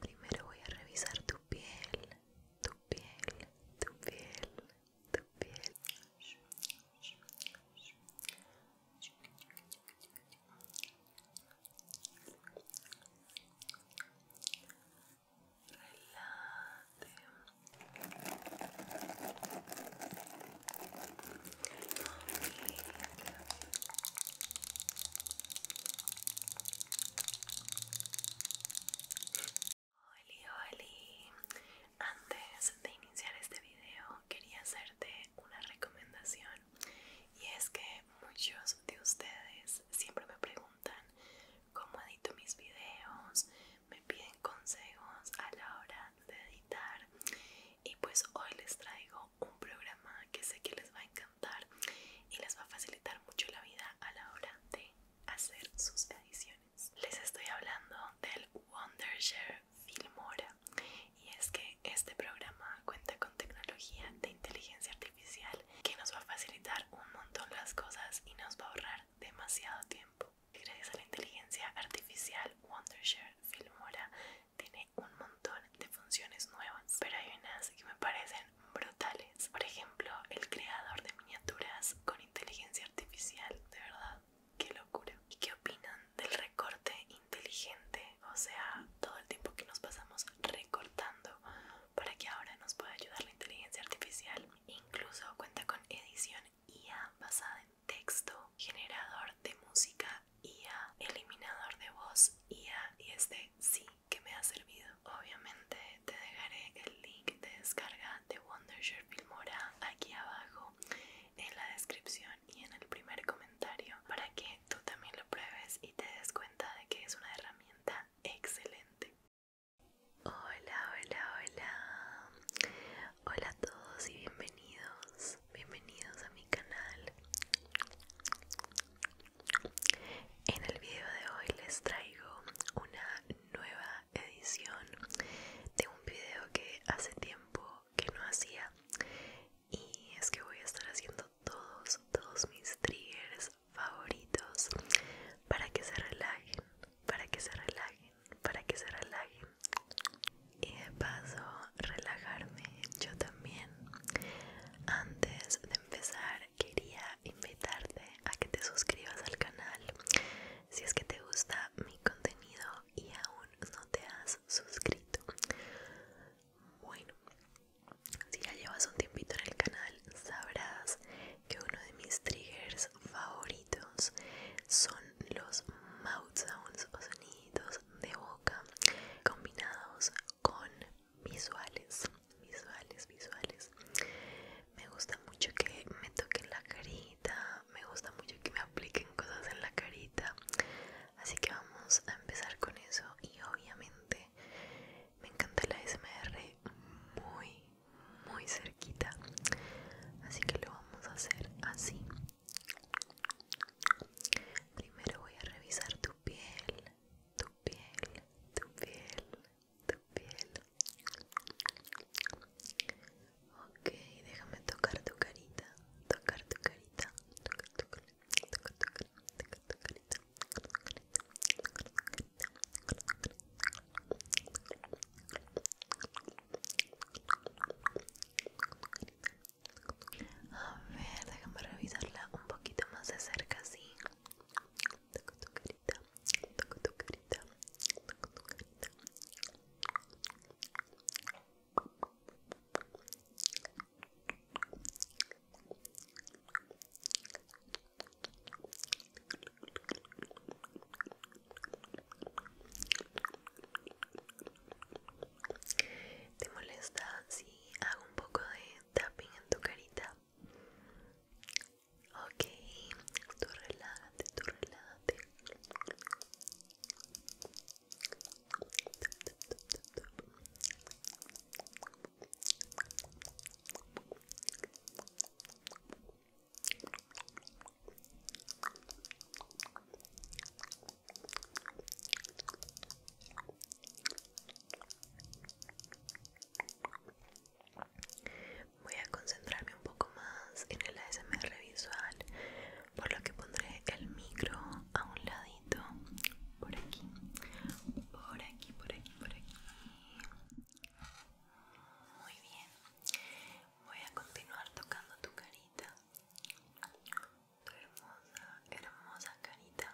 Primero voy a revisar tu piel, tu piel, tu piel, tu piel. Relate. ¡Hola! hola! Antes de iniciar este video quería hacerte una recomendación y es que muchos de ustedes siempre me preguntan cómo edito mis videos, me piden consejos a la hora de editar y pues hoy les traigo un programa que sé que les va a encantar y les va a facilitar mucho la vida a la hora de hacer sus ediciones. Les estoy hablando del Wondershare Filmora y es que este programa cuenta con tecnología de inteligencia artificial que nos va a facilitar un montón las cosas y nos va a ahorrar demasiado tiempo. Gracias a la inteligencia artificial Wondershare Filmora tiene un montón de funciones nuevas, pero hay unas que me parecen brutales. Por ejemplo, el creador de miniaturas con inteligencia artificial, de verdad, qué locura. ¿Y qué opinan del recorte inteligente? O sea, todo el tiempo que nos pasamos recortando para que ahora nos pueda ayudar la inteligencia artificial. Incluso cuenta con edición IA basada en texto, generador de música IA, eliminador de voz IA y este sí que me ha servido. Obviamente te dejaré el link de descarga de Wondershare Filmora aquí abajo en la descripción y en el primer comentario para que tú también lo pruebes y te des cuenta de que es una herramienta excelente. Hola, hola, hola. Hola a todos y bienvenidos. Bienvenidos a mi canal. En el video de hoy les traigo una nueva edición de un video que hace tiempo que no hacía y es que voy a estar haciendo todos, todos mis triggers favoritos para que se relajen, para que se relajen, para que se relajen y de paso relajarme yo también. Antes de empezar quería invitarte a que te suscribas al canal. Si es que te gusta mi contenido y aún no te has suscrito. Bueno, si ya llevas un tiempito en el canal sabrás que uno de mis triggers favoritos son los mouth sounds o sonidos de boca combinados con visuales visuales visuales me gusta mucho que me toquen la carita me gusta mucho que me apliquen cosas en la carita así que vamos a empezar con eso y obviamente me encanta la smr muy muy cerquita así que lo vamos a hacer así primero voy a revisar tu tu piel, tu piel, tu piel, tu piel. Ok, déjame tocar tu carita, carita, tocar tu carita, tu carita, tu carita, tocar tu carita, tocar tu carita. Tocar tu carita, a ver, déjame revisarla un poquito más de cerca, así Toco tu carita, toco tu carita, toco tu carita. ¿Te molesta si hago un poco de tapping en tu carita? Ok, tú relájate, tú relájate. Voy a concentrarme un poco más en el ASMR visual, por lo que pondré el micro a un ladito, por aquí, por aquí, por aquí, por aquí. Muy bien, voy a continuar tocando tu carita hermosa, hermosa carita.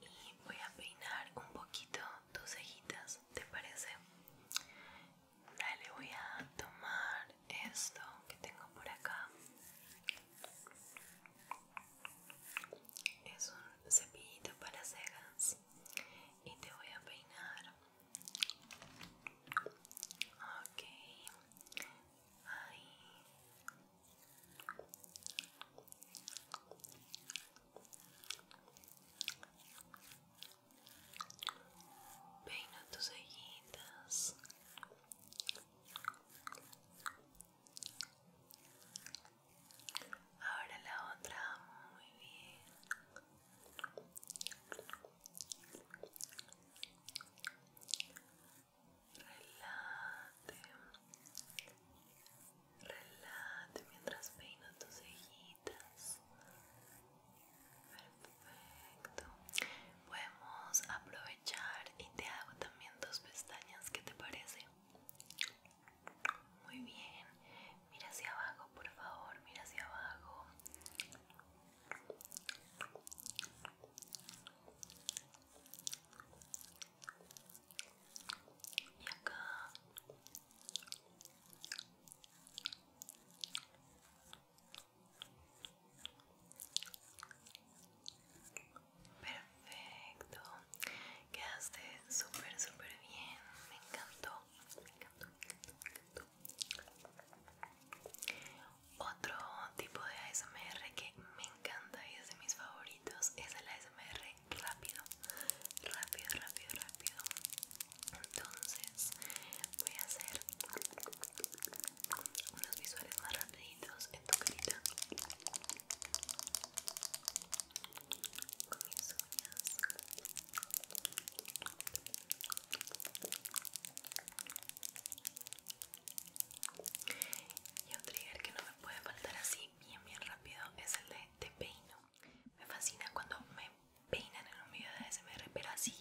Y voy a peinar un poquito tus cejitas, ¿te parece? Dale, voy a tomar esto que tengo por acá es un cepillito para cejas y te voy a peinar Okay, ahí Peina tus cejitas Ahora la otra, muy bien. Relate, relate mientras peino tus cejitas. Perfecto podemos aprovechar y te hago también dos pestañas, ¿qué te parece? Muy bien, mira hacia abajo, por favor, mira hacia abajo. Y acá. Perfecto, quedaste súper, súper bien. Me encantó, me encantó, me encantó. Otro tipo de ASMR que me encanta y es de mis favoritos es el ASMR rápido, rápido, rápido, rápido. Entonces voy a hacer unos visuales más rapiditos en tu carita con mis uñas y otro trigger que no me puede faltar así bien bien rápido es el de te peino me fascina cuando me peinan en un video de ASMR pero así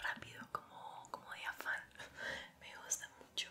rápido como, como de afán me gusta mucho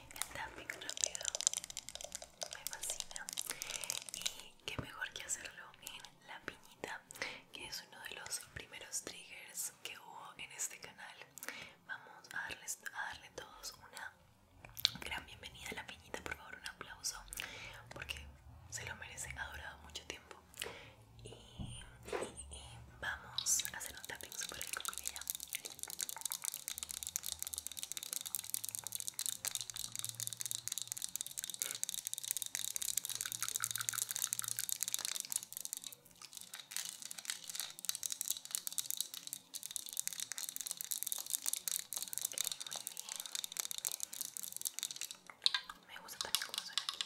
el tapping rápido me fascina y qué mejor que hacerlo en la piñita que es uno de los primeros triggers que hubo en este canal vamos a, darles, a darle todos una gran bienvenida a la piñita por favor un aplauso porque se lo merecen, ha durado mucho tiempo y y, vamos a hacer un tapping super rico con ella Me gusta también cómo suena aquí.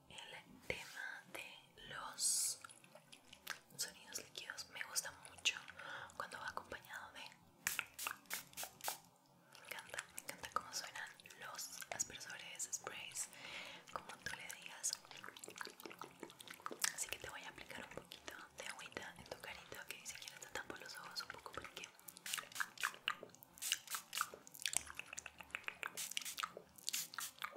el tema de los sonidos líquidos me gusta mucho cuando va acompañado de me encanta me encanta cómo suenan los aspersores sprays como tú le digas así que te voy a aplicar un poquito de agüita en tu carita ok si quieres te tapo los ojos un poco porque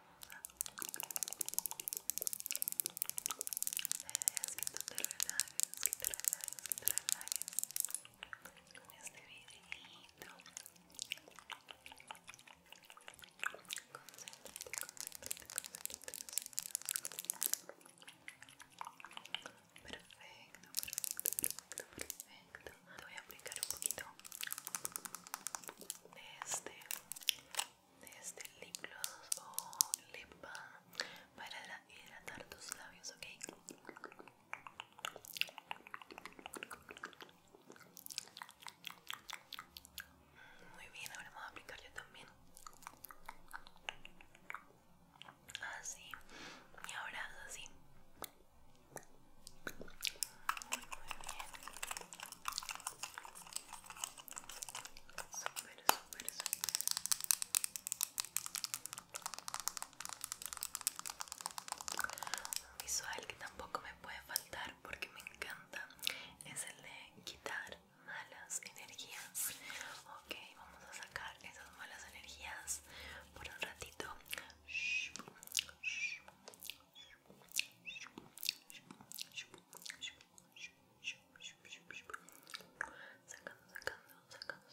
idea es que tú te relajes, que te relajes, que te relajes con este videito Concéntrate, concéntrate, concéntrate, concéntrate Perfecto, perfecto, perfecto, perfecto Te voy a aplicar un poquito de este de este lip o lip para hidratar tus labios, ¿ok? Muy bien, ahora vamos a aplicar yo también. Así, y ahora así. Super, super, Un visual que tampoco me puede faltar porque me encanta es el de quitar malas energías. Ok, vamos a sacar esas malas energías por un ratito. Sacando, sacando, sacando,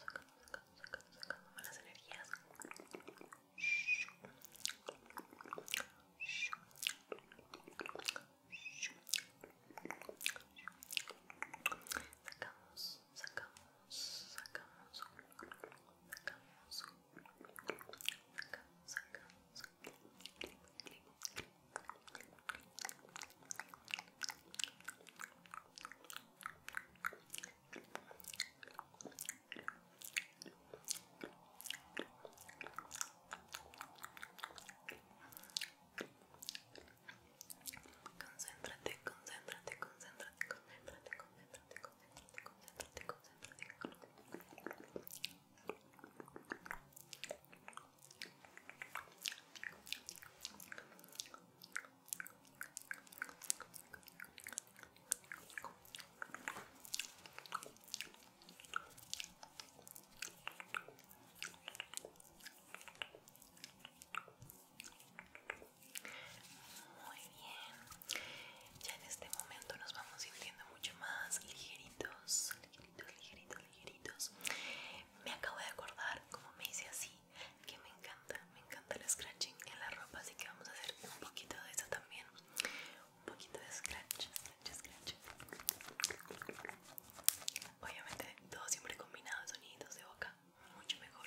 sacando, sacando, sacando, malas energías. Sacamos, sacamos, sacamos, sacamos, sacamos, sacamos, Concentrate, concentrate, concentrate, concentrate, concentrate, concentrate, concéntrate, concéntrate, concéntrate. Muy bien, ya en este momento nos vamos sintiendo mucho más ligeritos, ligeritos, ligeritos, ligeritos. Me acabo de acordar, como me hice así, que me encanta, me encanta el scratching en la ropa, así que vamos a hacer un poquito de eso también. Un poquito de scratch, scratch, scratch. Obviamente todo siempre combinado, sonidos de boca, mucho mejor.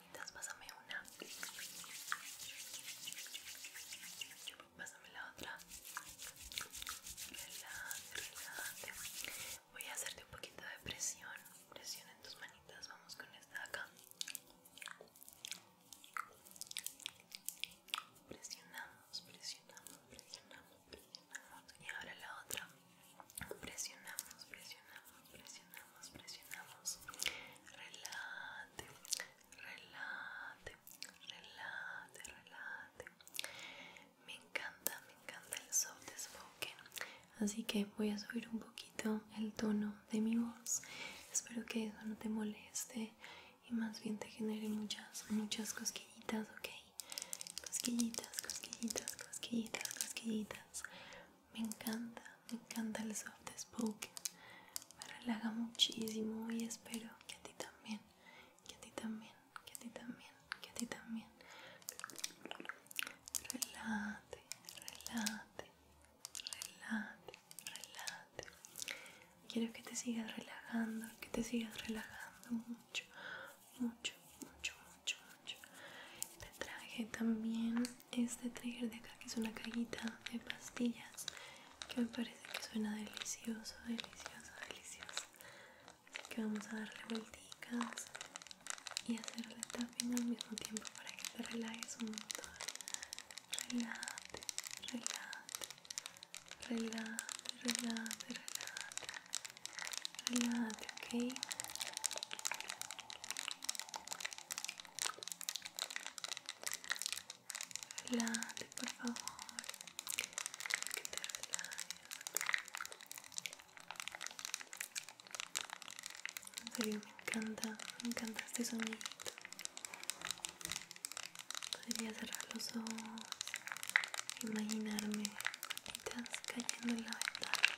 manitas, pásame una. Pásame la otra. Relájate, relájate. Voy a hacerte un poquito de presión. Presión en tus manitas. Vamos con esta de acá. Presionamos, presionamos, presionamos, presionamos. Y ahora la otra. Presionamos, presionamos, presionamos presionamos, presionamos. Relate, relate, relate, Me encanta, me encanta el soft spoken. Así que voy a subir un poquito el tono de mi voz. Espero que eso no te moleste y más bien te genere muchas, muchas cosquillitas, ok. Cosquillitas, cosquillitas, cosquillitas, cosquillitas me encanta, me encanta el soft spoken, me relaja muchísimo y espero que a ti también, que a ti también, que a ti también, que a ti también. Relate, relate, relate, relate. Quiero que te sigas relajando, que te sigas relajando mucho, mucho, mucho, mucho, mucho. Te traje también este trigger de acá que es una cajita de pastillas que me parece que suena delicioso, delicioso, delicioso así que vamos a darle vueltas y hacerle tapping al mismo tiempo para que se relajes un montón relájate, relájate relájate, relájate, relájate relájate, ok Relájate, por favor. Que te relajes. En serio, me encanta, me encanta este sonidito. Podría cerrar los ojos, imaginarme estás cayendo en la ventana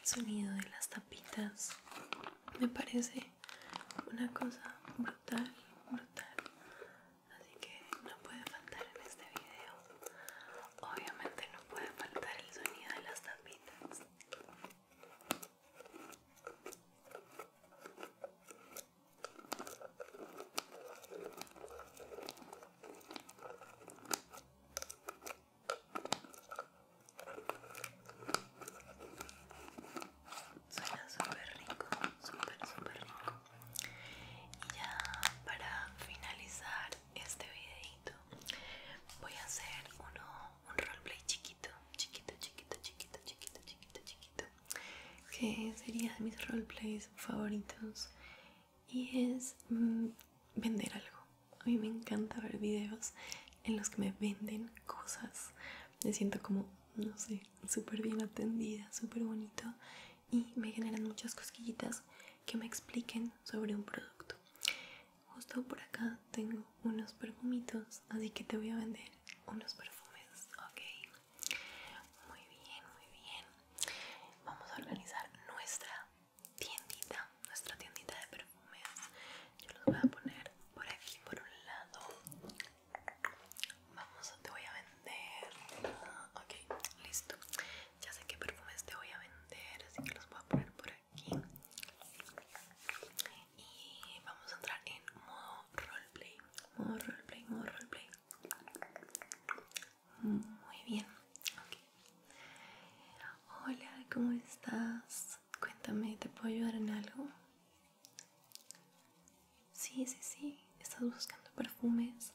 El sonido de las tapitas me parece una cosa brutal, brutal. Así que no puede faltar en este video. Obviamente no puede faltar el sonido de las tapitas. Suena súper rico, súper, súper rico. Y ya para finalizar este videito, voy a hacer uno, un roleplay chiquito, chiquito, chiquito, chiquito, chiquito, chiquito, chiquito que sería de mis roleplays favoritos y es mm, vender algo. A mí me encanta ver videos en los que me venden cosas. Me siento como, no sé, súper bien atendida, súper bonito y me generan muchas cosquillitas que me expliquen sobre un producto. Justo por acá tengo unos perfumitos, así que te voy a vender unos perfumes, ok. Muy bien, muy bien. Vamos a organizar nuestra tiendita, nuestra tiendita de perfumes. Yo los voy a poner por aquí, por un lado. Vamos, te voy a vender. Ah, ok, listo. Ya sé qué perfumes te voy a vender, así que los voy a poner por aquí. Y vamos a entrar en modo roleplay roleplay, roleplay. Muy bien. Hola, ¿cómo estás? Cuéntame, ¿te puedo ayudar en algo? Sí, sí, sí. Estás buscando perfumes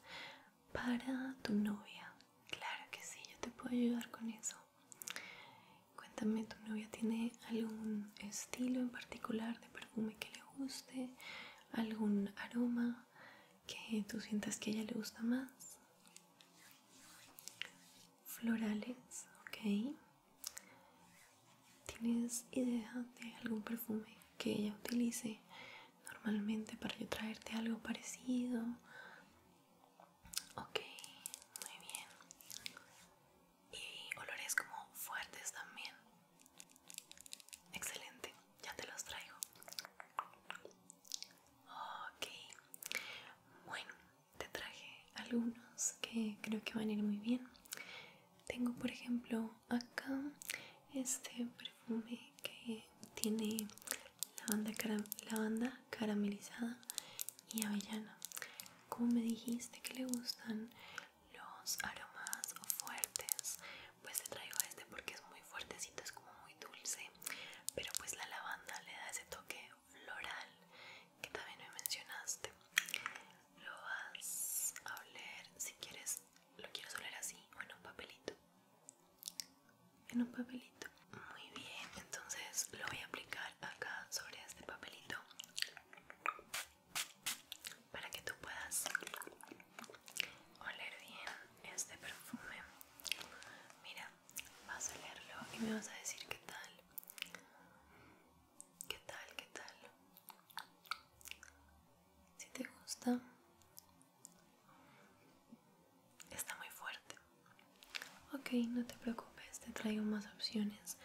para tu novia. Claro que sí, yo te puedo ayudar con eso. Cuéntame, ¿tu novia tiene algún estilo en particular de perfume que le guste, algún aroma que tú sientas que a ella le gusta más. Florales, ok. ¿Tienes idea de algún perfume que ella utilice normalmente para yo traerte algo parecido? Ok, muy bien y olores como fuertes también. Excelente, ya te los traigo. Ok, bueno, te traje algunos que creo que van a ir muy bien. Tengo por ejemplo acá este perfume que tiene lavanda, caram banda caramelizada y avellana. Como me dijiste que le gustan los aromas fuertes pues te traigo este porque es muy fuertecito es como muy dulce pero pues la lavanda le da ese toque floral que también me mencionaste lo vas a oler si quieres lo quiero oler así o en un papelito en un papelito muy bien entonces lo voy a aplicar acá sobre este papelito para que tú puedas oler bien este perfume. Mira, vas a olerlo y me vas a decir qué tal. ¿Qué tal? ¿Qué tal? Si te gusta. Está muy fuerte. Ok, no te preocupes, te traigo más opciones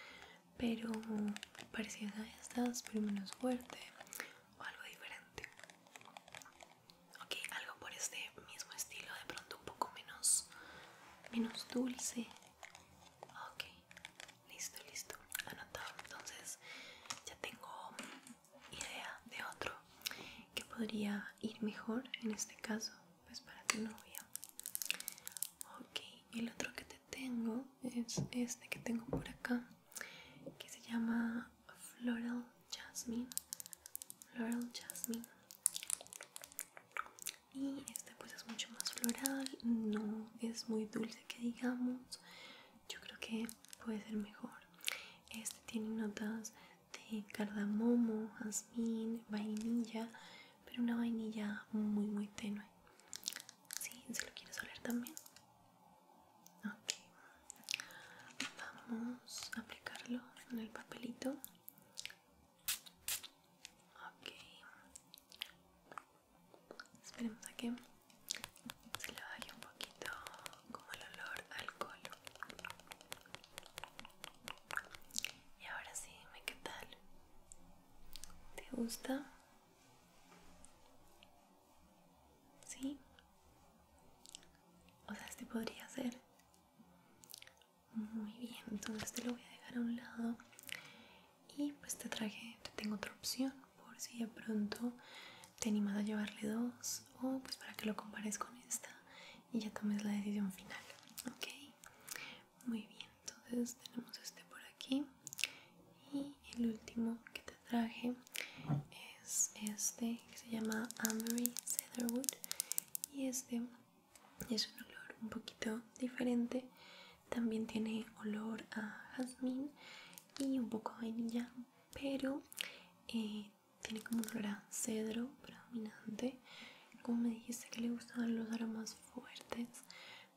pero parecidas a estas, pero menos fuerte o algo diferente. Ok, algo por este mismo estilo, de pronto un poco menos, menos dulce. Ok, listo, listo, anotado. Entonces ya tengo idea de otro que podría ir mejor en este caso, pues para tu novia. Ok, el otro que tengo es este que tengo por acá que se llama Floral Jasmine Floral Jasmine y este pues es mucho más floral no es muy dulce que digamos yo creo que puede ser mejor este tiene notas de cardamomo jazmín vainilla pero una vainilla muy muy tenue Sí, se lo quieres oler también. Ok, vamos a aplicarlo en el papelito. Ok, esperemos a que se le vaya un poquito como el olor al alcohol. Y ahora sí, ¿qué tal? ¿Te gusta? ¿Sí? O sea, este podría ser. Muy bien, entonces te lo voy a dejar a un lado. Y pues te traje, te tengo otra opción por si ya pronto te animas a llevarle dos o pues para que lo compares con esta y ya tomes la decisión final. Ok, muy bien entonces tenemos este por aquí y el último que te traje es este que se llama Ambery Cedarwood y este es un olor un poquito diferente también tiene olor a jazmín y un poco a vainilla pero eh, tiene como un olor a cedro predominante como me dijiste que le gustaban los aromas fuertes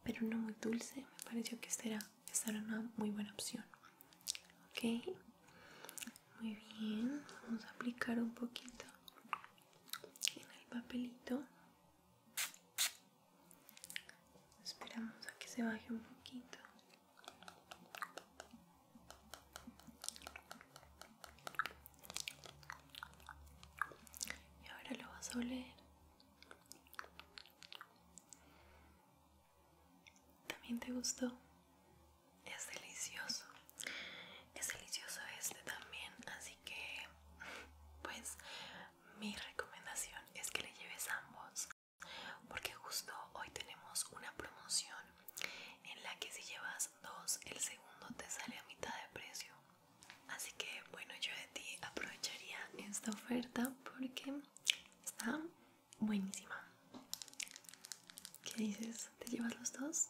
pero no muy dulce me pareció que será estará una muy buena opción ok muy bien vamos a aplicar un poquito en el papelito esperamos a que se baje un poquito y ahora lo vas a oler ¿También te gustó? Es delicioso. Es delicioso este también, así que pues mi recomendación es que le lleves ambos porque justo hoy tenemos una promoción en la que si llevas dos el segundo te sale a mitad de precio Así que bueno, yo de ti aprovecharía esta oferta porque está buenísima. ¿Qué dices? ¿Te llevas los dos?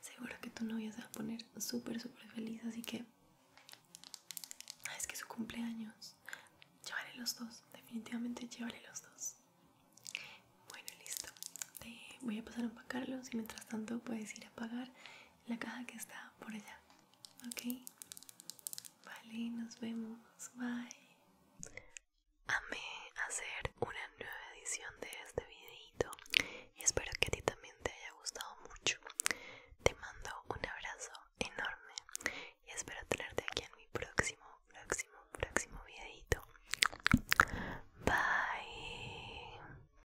Seguro que tu novia se va a poner súper, súper feliz, así que... Ah, es que su cumpleaños. Llévale los dos, definitivamente llevaré los dos. Bueno, listo. Te voy a pasar a empacarlos y mientras tanto puedes ir a pagar la caja que está por allá. Ok, vale, nos vemos. Bye. Amé hacer una nueva edición de este videito y espero que a ti también te haya gustado mucho. Te mando un abrazo enorme y espero tenerte aquí en mi próximo, próximo, próximo videito. Bye.